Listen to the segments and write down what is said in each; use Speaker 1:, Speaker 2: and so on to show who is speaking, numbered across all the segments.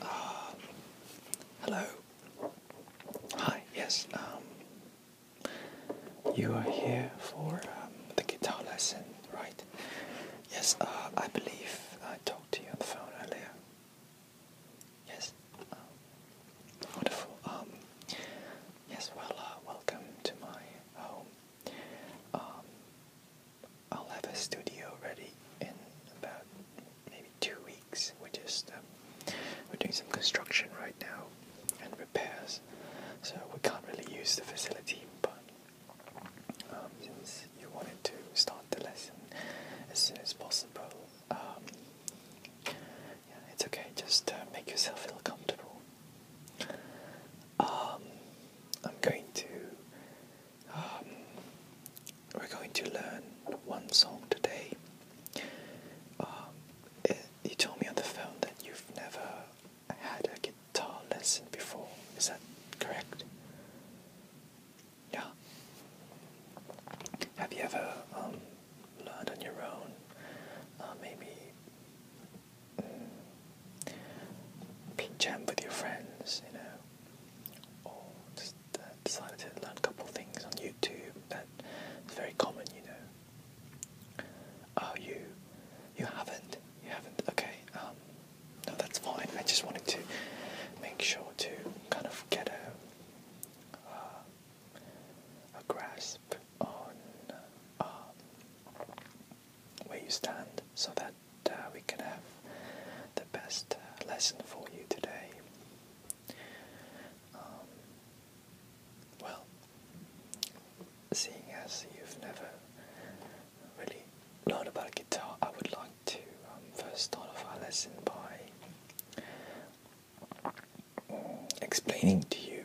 Speaker 1: Uh, hello. Hi, yes. Um, you are here for um, the guitar lesson, right? Yes, uh, I believe I talked to you on the phone earlier. Yes. Um, wonderful. yes, well, uh, welcome to my home. I'll have a studio ready in about maybe two weeks. We're just um, we're doing some construction right now and repairs, so we can't really use the facility. But um, since you wanted to start the lesson as soon as possible, um, yeah, it's okay. Just uh, make yourself feel comfortable. I'm going to um, we're going to learn one song today. Um, you told me on the phone that you've never had a guitar lesson before. Is that correct? Yeah. Have you ever um, learned on your own? Uh, maybe mm, played jam with your friends, you know, or just uh, decided to learn a couple things on YouTube. That's very common, you know. Oh, you, you haven't, you haven't. Okay, um, no, that's fine. I just wanted to make sure to kind of get a uh, a grasp on. Uh, where you stand so that uh, we can have the best uh, lesson for you today. Um, well, seeing as you've never really learned about guitar, I would like to um, first start off our lesson by explaining to you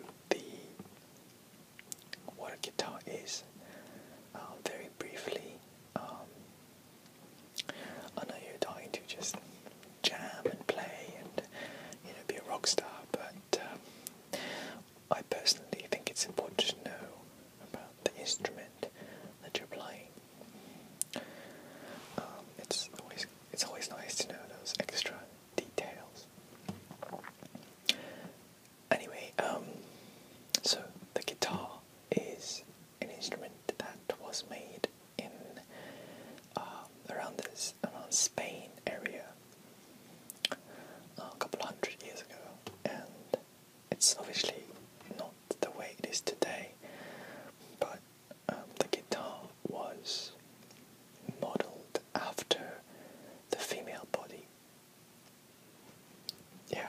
Speaker 1: what a guitar is uh, very briefly um, I know you're dying to just jam and play and you know be a rock star, but um, I personally think it's important to know about the instrument that you're playing. Um, it's always it's always nice to know those extra details. Anyway, um, so the guitar is an instrument that was made in um, around this around Spain area uh, a couple hundred years ago, and it's obviously not the way it is today. But um, the guitar was modelled after the female body yeah,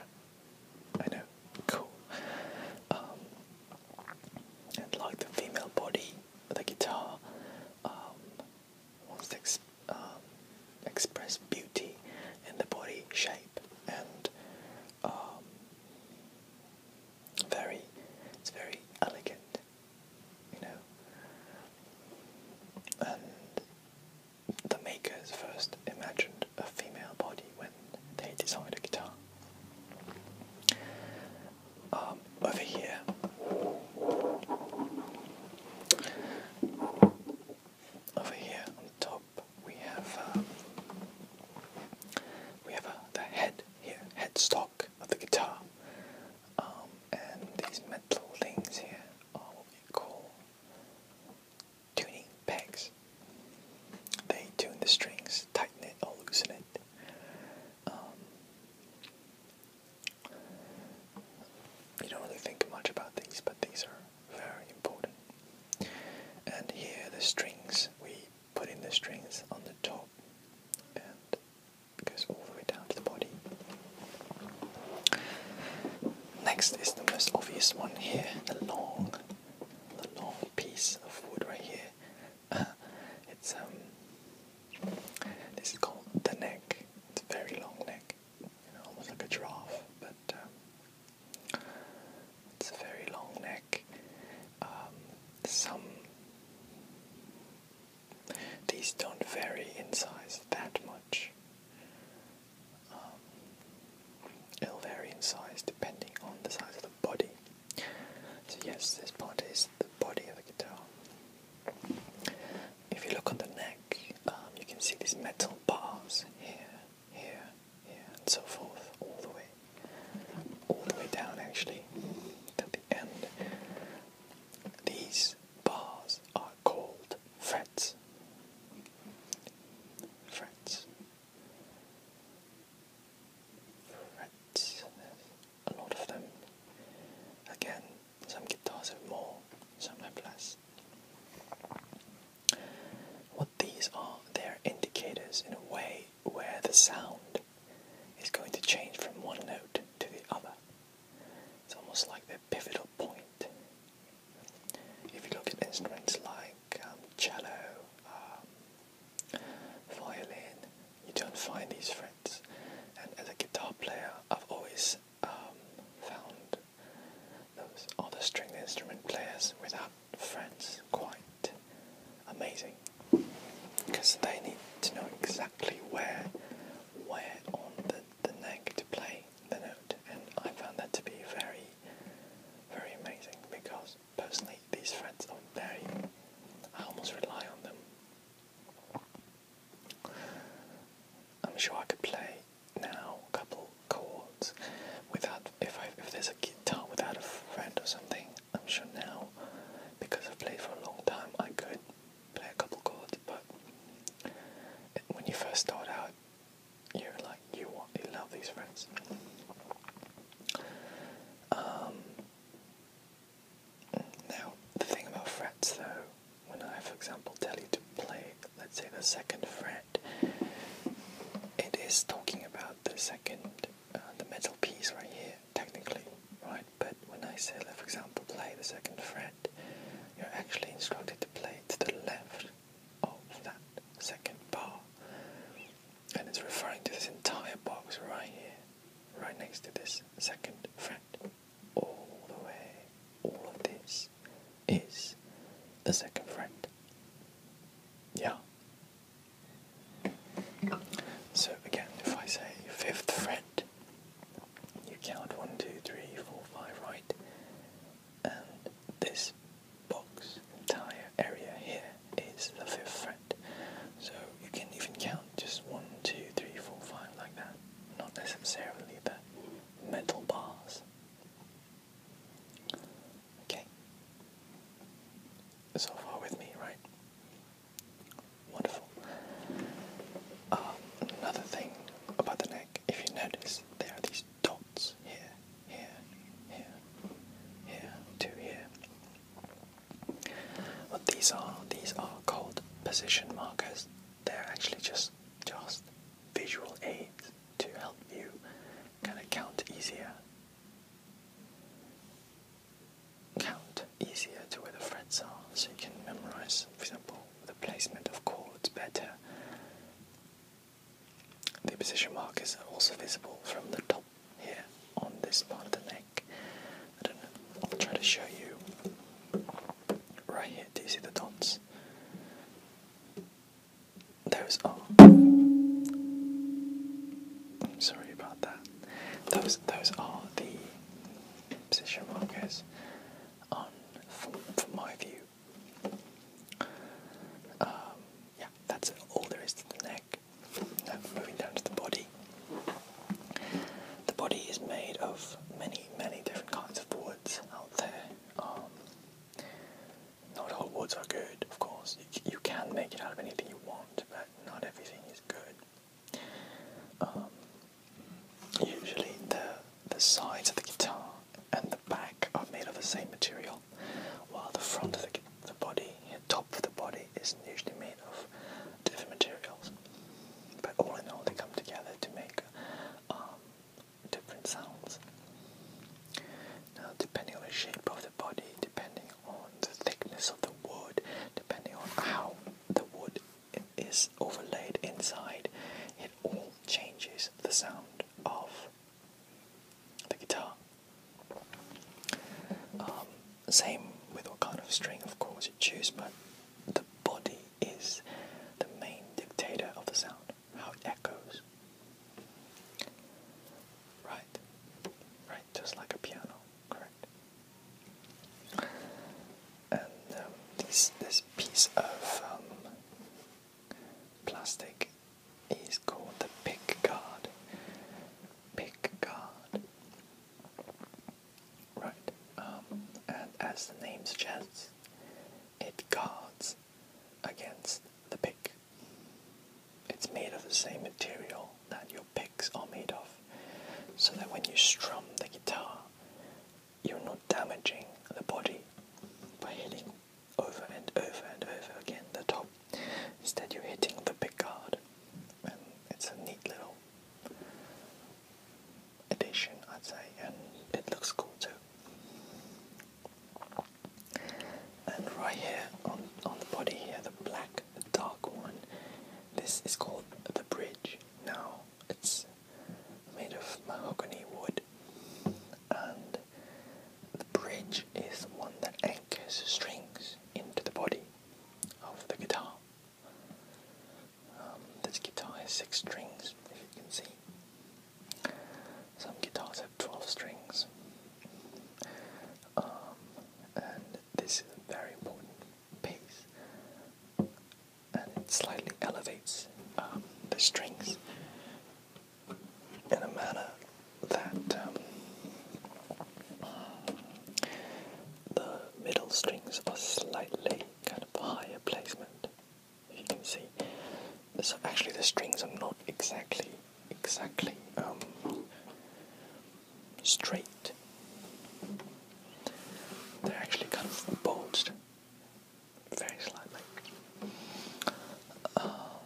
Speaker 1: I know. Cool. Um, and like the female body, the guitar um, wants to um, express beauty in the body shape, and very, it's very elegant, you know. And the makers first imagined a female body when they designed a guitar. Um, over here, over here on top, we have um, we have uh, the head here, headstock of the guitar, um, and these metal things here are what we call tuning pegs. They tune the strings, tighten it or loosen it. Um, you don't really think much about these, but these are very important. And here the strings, we put in the strings on the top and goes all the way down to the body. Next is the most obvious one here, the long, the long piece of wood right here. Uh, it's um, this is called the neck. It's a very long neck, almost like a giraffe, but um, it's a very long neck. Um, some these don't vary in size that much. Um, it'll vary in size depending on the size of the body. So yes, this part is the body of the guitar. If you look on the neck, um, you can see these metal bars here, here, here, and so forth, all the way, all the way down actually, to the end. These bars are called frets frets. Frets. a lot of them. Again, some guitars have more, some have less. What these are, they're indicators in a way where the sound is going to change from one note to the other. It's almost like the pivotal point if you look at instruments like um, cello, um, violin, you don't find these frets. And as a guitar player, I've always um, found those other string instrument players without frets quite amazing because they need to know exactly where where on the, the neck to play the note, and I found that to be very, very amazing because personally these friends are very, I almost rely on them. I'm sure I could play now a couple chords without, if, I, if there's a guitar without a friend or something, I'm sure now, because I've played for a long time, I could play a couple chords, but when you first start out, you are like you want you love these friends. Um, now the thing about frets though, when I for example tell you to play, let's say the second fret, it is talking about the second, uh, the middle piece right here, technically, right? But when I say, for example, play the second fret, you're actually instructed to play to the left of that second bar. And it's referring to this entire box right here, right next to this second fret. All the way, all of this is the second fret. Yeah. So again, if I say fifth fret, you count one, two, three, four, five, right? And this box, entire area here, is the fifth fret. So you can even count just one, two, three, four, five like that. Not necessarily the mental bars. Okay. So far with me, right? Wonderful. Um, another thing about the neck if you notice there are these dots here, here, here, here, to here. What these are, these are called position markers. They're actually just just visual aids to help you kind of count easier. Count easier to where the frets are so you can memorize, for example, the placement of chords better. The position markers are also visible from the top here on this part of the neck. I don't know, I'll try to show you. Right here, do you see the dots? Those are. I'm sorry about that. Those those are the position markers on from, my view. Um, yeah, that's all there is to the neck. Now moving down to the body. The body is made of many, many different kinds of woods out there. Um, not all woods are good, of course. You, can make it out of anything you want, but not everything is good. Um, Usually the, the sides of the guitar and the back are made of the same material, while the front of the, the body, the top of the body, is usually made of different materials. But all in all, they come together to make um, different sounds. Now, depending on the shape of the body, depending on the thickness of the wood, depending on how the wood it is overlaid inside, it all changes the sound of the guitar. Um, same with what kind of string, of course, you choose, but the body is the main dictator of the sound, how it echoes. Right, right, just like a piano, correct? and um, this this piece of um, plastic is called the pick guard. Pick guard. Right, um, and as the name suggests, it guards against the pick. It's made of the same material that your picks are made of, so that when you strum the guitar, you're not damaging the body by hitting over and over and over again the top. Instead, you're hitting the big card, and it's a neat little addition, I'd say, and it looks cool too. And right here on on the body here, the black, the dark one. This is called the bridge. Now it's made of mahogany wood, and the bridge is one that anchors strings into the body of the guitar. Um, this guitar has six strings, if you can see. Some guitars have 12 strings. Um, and this is a very important piece and it slightly elevates um, the strings in a manner that um, the middle strings are slightly kind of higher placement. You can see. So actually, the strings are not exactly exactly um, straight. They're actually kind of bowed very slightly. Um,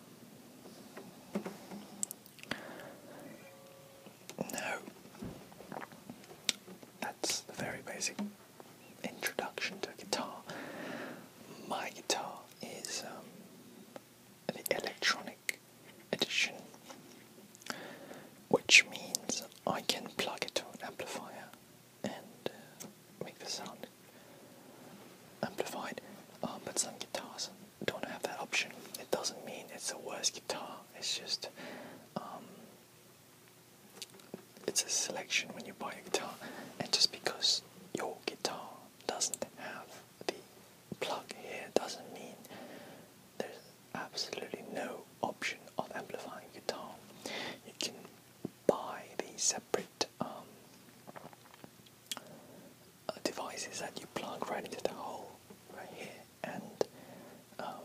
Speaker 1: that's the very basic introduction to guitar. My guitar is um, the electronic edition, which means I can plug it to an amplifier and uh, make the sound amplified. Um, but some guitars don't have that option. It doesn't mean it's a worse guitar. It's just um, it's a selection when you buy a guitar, and just because your guitar doesn't have the plug here doesn't mean there's absolutely no option of amplifying guitar. You can buy the separate um, uh, devices that you plug right into the hole right here, and um,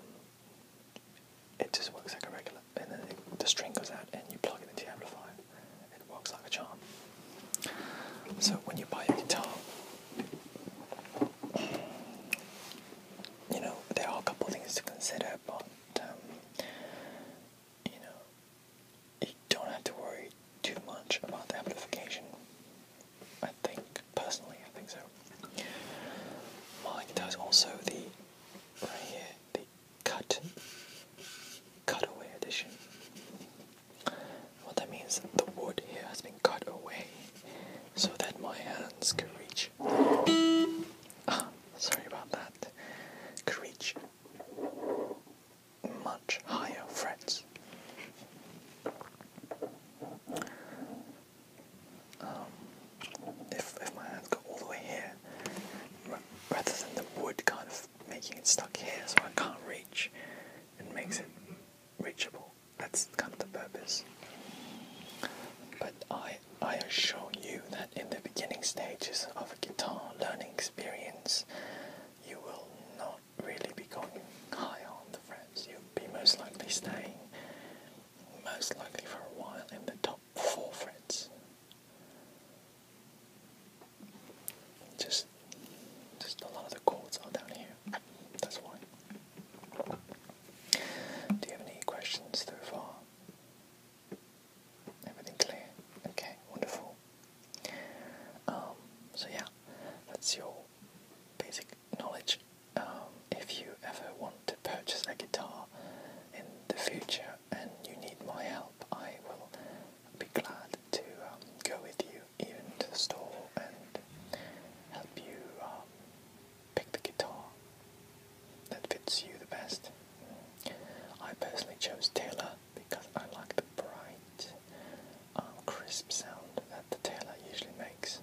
Speaker 1: it just works like a regular. And then the string goes out, and you plug it into your amplifier. It works like a charm. So when you buy a guitar, you know there are a couple things to consider, about um, you know you don't have to worry too much about the amplification. I think personally, I think so. My guitar also the right here the cut cutaway edition. What that means, the wood here has been cut away so that my hands can reach. Ah, sorry about that. Could reach much higher frets. Um, if if my hands go all the way here, rather than the wood kind of making it stuck here, so I can't reach, it makes it reachable. That's kind of the purpose. But I I, assure you that in the beginning stages of guitar learning experience, you will not really be going high on the frets. You'll be most likely staying, most likely for a while, in the top four frets. Just, just a lot of the chords are down here. That's why. Do you have any questions so far? Everything clear? Okay, wonderful. Um, so yeah, that's your basic knowledge. Um, if you ever want to purchase a guitar in the future and you need my help, I will be glad to um, go with you even to the store and help you pick the guitar that fits you the best. I personally chose Taylor because I like the bright, um, crisp sound that the Taylor usually makes.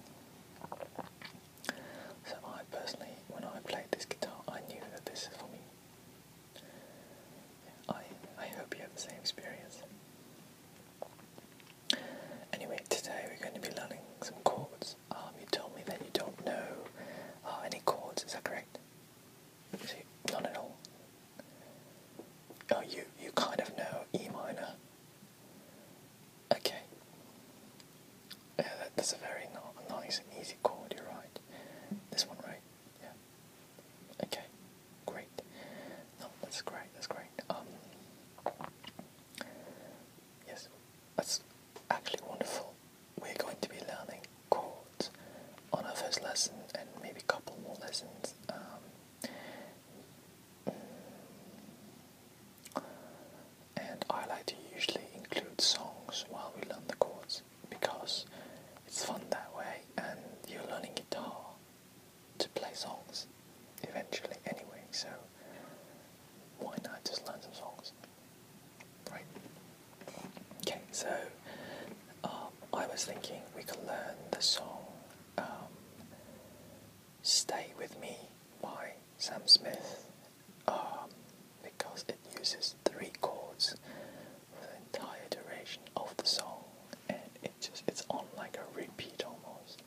Speaker 1: So I personally, when I played this guitar, I knew that this is for me. I, I hope you have the same experience. Anyway, today we're going to be learning some chords. Um, you told me that you don't know uh, any chords. Is that correct? See, none at all. Oh, you you kind of know E minor. Okay. Yeah, that's a very nice and easy chord. You're right. This one, right? Yeah. Okay. Great. No, that's great. That's great. Um. Yes, that's actually wonderful. We're going to be learning chords on our first lesson and maybe a couple more lessons. Um, and I like to usually include songs while we learn the chords because it's fun that way and you're learning guitar to play songs eventually anyway, so why not just learn some songs? Right. Okay, so um, I was thinking we could learn the song um, Stay With Me by Sam Smith um, because it uses three chords for the entire duration of the song and it just it's on like a repeat almost.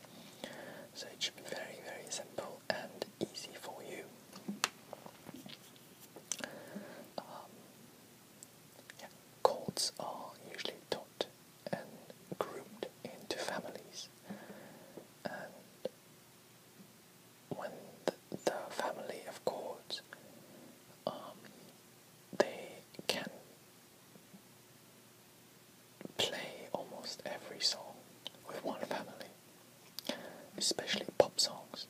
Speaker 1: So it should be very, very simple and easy for you. Um, are usually taught and groomed into families, and when the, family of cords, um, they can play almost every song with one family, especially pop songs.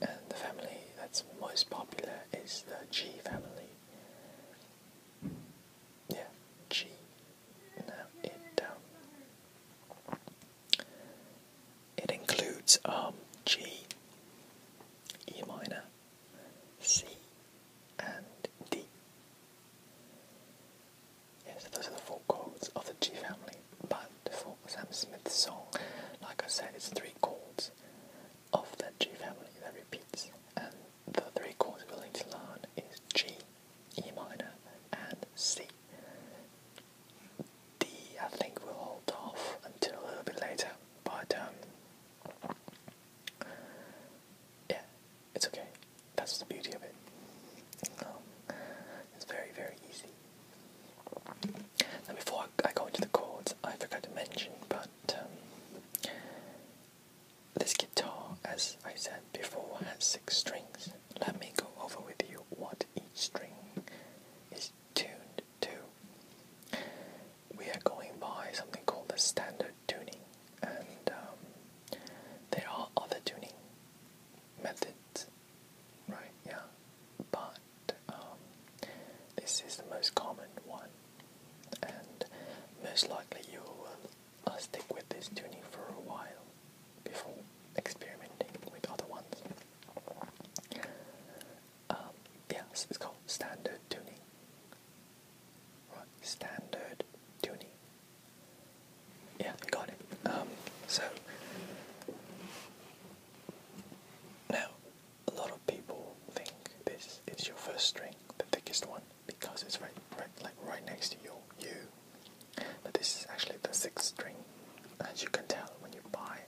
Speaker 1: And the family that's most popular is the G family. Yeah, G. Now it down. Um, it includes um, G, E minor, C, and D. Yes, those are the four chords of the G family. But for Sam Smith's song, like I said, it's three chords of that G family that repeats. And the three chords we're going to learn is G, E minor, and C. D, I think we'll hold off until a bit later. But, um, yeah, it's okay. That's the beauty of it. Um, it's very, very easy. Now, before I go into the chords, I forgot to mention, but um, this guitar, as I said before, has six strings. Let me go over with you what each string is tuned to. We are going by something called the standard tuning and um, there are other tuning methods, right? Yeah, but um, this is the most common one, and most likely you will uh, stick with this tuning for a while before experimenting with other ones. Um, it's called standard tuning. Right, standard tuning. Yeah, got it. Um, so now a lot of people think this is your first string, the thickest one, because it's right, right, like right next to your U. But this is actually the sixth string, as you can tell when you buy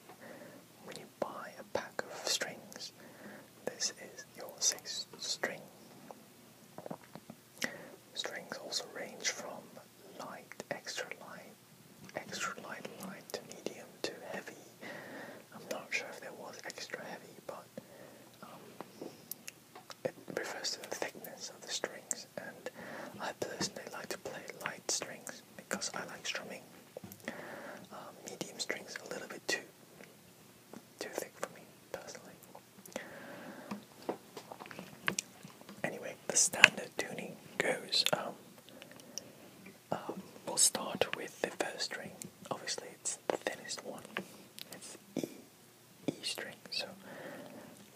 Speaker 1: when you buy a pack of strings. This is your sixth string. Strings also range from light, extra light, extra light, light to medium to heavy. I'm not sure if there was extra heavy, but um, it refers to the thickness of the strings. And I personally like to play light strings because I like strumming. Um, medium strings a little bit too too thick for me personally. Anyway, the standard tuning goes. Um, um, we'll start with the first string. Obviously, it's the thinnest one. It's E, E string. So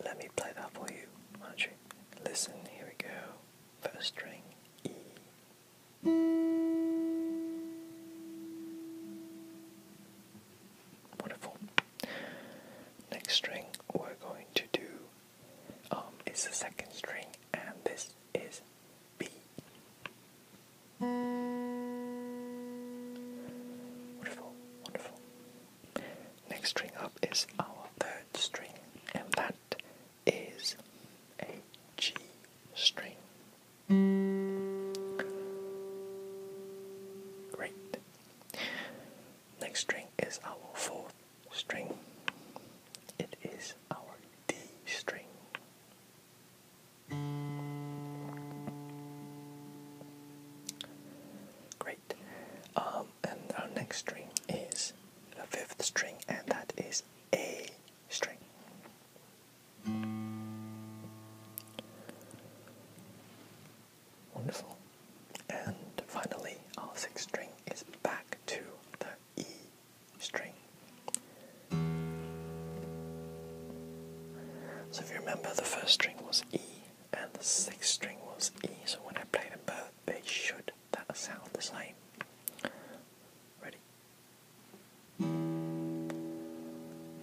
Speaker 1: let me play that for you, will Listen, here we go. First string, E. Wonderful. Next string we're going to do um, is the second string, and this is B. Wonderful, wonderful. Next string up is our third string, and that is a G string. Great. Next string is our fourth string. It is our D string. Great. Um, and our next string is the fifth string, and that is A string. Wonderful. And finally, our sixth string is back to the E string. So if you remember, the first string was E and the sixth string was E. So when I play them both, they should that sound the same. Ready?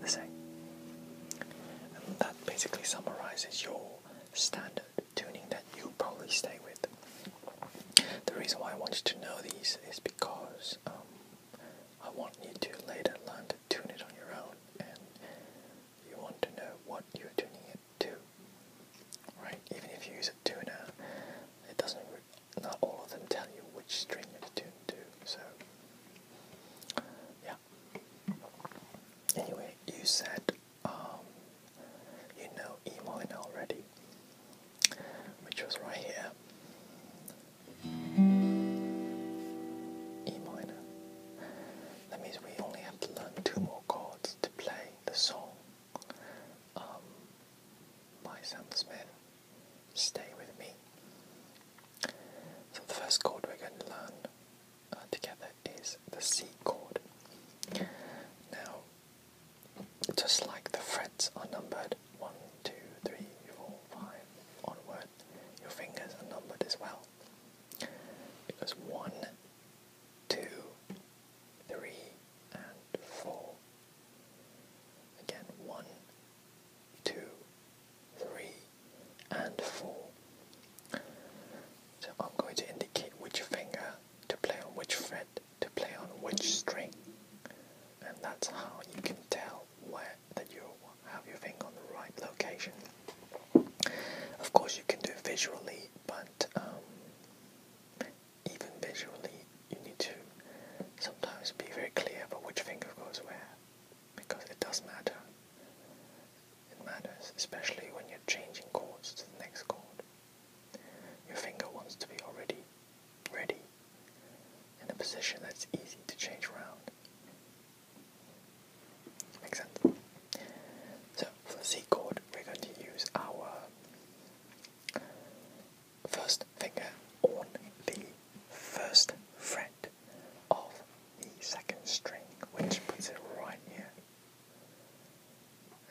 Speaker 1: The same that basically summarizes your standard tuning that you probably stay with. The reason why I want you to know these is because um, I want you to later learn to tune it on your own and you want to know what you're tuning it to. Right? Even if you use a tuner, it doesn't not all of them tell you which string you're tuned to. So yeah, Anyway, you said um, you know Emolin already, which was right here. E minor. That means we only have to learn two more chords to play the song by Sam Smith, Stay With Me. So the first chord we're going to learn uh, together is the C chord. Now, just like the frets are numbered one, two, three, four, five, 2, onward, your fingers are numbered as well. It goes 1, and 4. Again, 1, two, three, and four. So I'm going to indicate which finger to play on which fret, to play on which string. And that's how you can tell where that you have your finger on the right location. Of course, you can do it visually, but um, even visually, you need to sometimes be very clear about which finger goes where because it does matter. It matters, especially when you're changing chords to the next chord. Your finger wants to be already ready in a position that's easy to change around. Make sense? So for the C chord, we're going to use our first finger on the first fret of the second string, which puts it right here.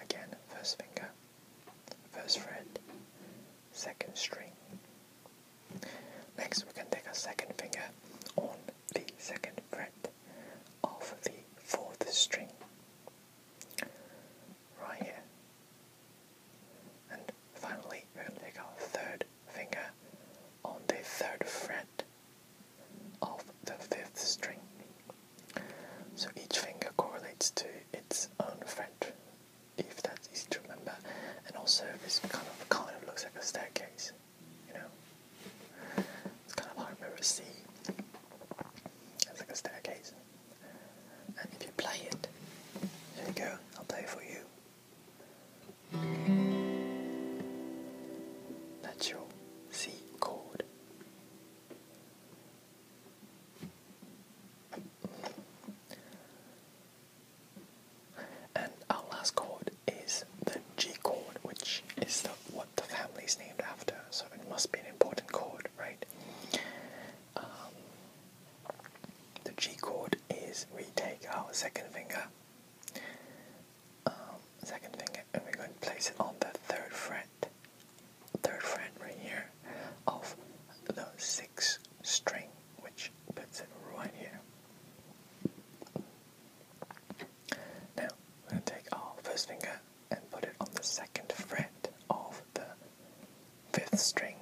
Speaker 1: Again, first finger, first fret, second string. Next, we can take a second finger on the second fret of the fourth string, right here, and Finally, we're going to take our third finger on the third fret of the fifth string. So each finger correlates to its own fret, if that's easy to remember. And also, this kind of kind of looks like a staircase, you know. It's kind of hard to remember It's like a staircase. And if you play it, there you go. I'll play for you. Natural C chord. And our last chord is the G chord, which is the, what the family is named after, so it must be an important chord, right? Um, the G chord is we take our second finger, um, second finger, and we're going to place it on the third fret, third fret right here of the sixth string, which puts it right here. Now we're going to take our first finger and put it on the second fret of the fifth string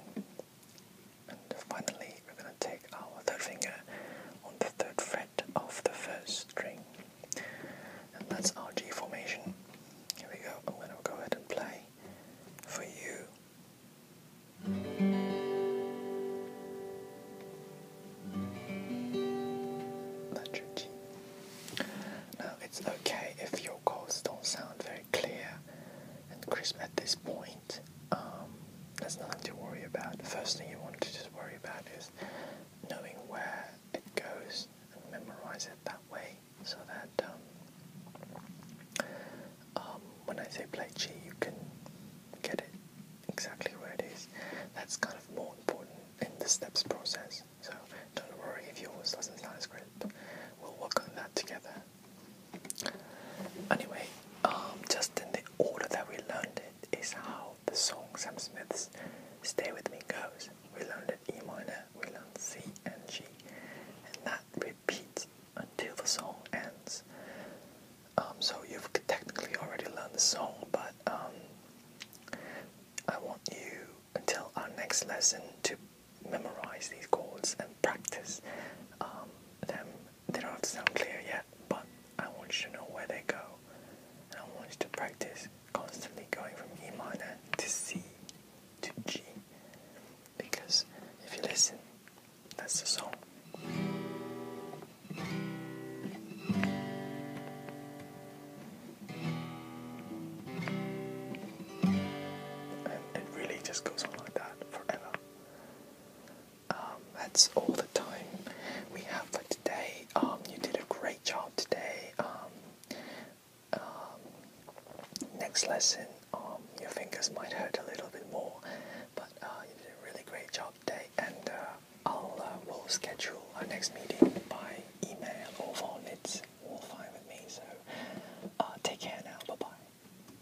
Speaker 1: and finally, we're going to take our third finger on the third fret of the first string. And that's our G formation. Here we go. I'm going to go ahead and play for you. That's your G. Now, it's okay if your chords don't sound very clear and crisp at this point. Um, there's nothing to worry about. The first thing you want to just worry about is knowing where it goes and memorize it that way so that um, um, when I say play G, you can get it exactly where it is. That's kind of more important in the steps process. So don't worry if yours doesn't sound as great. We'll work on that together. Anyway, um, just in the order that we learned it is how the song Sam Smith's Stay With Me goes. We learned it E minor, we learned C and G, and that repeats until the song ends. Um, so you've technically already learned the song, but um, I want you until our next lesson to memorize these chords and practice them they don't sound clear yet, but I want you to know where they go. And I want you to practice constantly going from E minor to C to G. Because if you listen, that's the song. And it really just goes on like that forever. Um, that's all the time we have for today. Um, you did a great job today. Um, next lesson, your fingers might hurt a little bit more, but uh, you did a really great job today. And uh, I'll uh, we'll schedule our next meeting by email or phone. It's all fine with me. So take care now. Bye bye.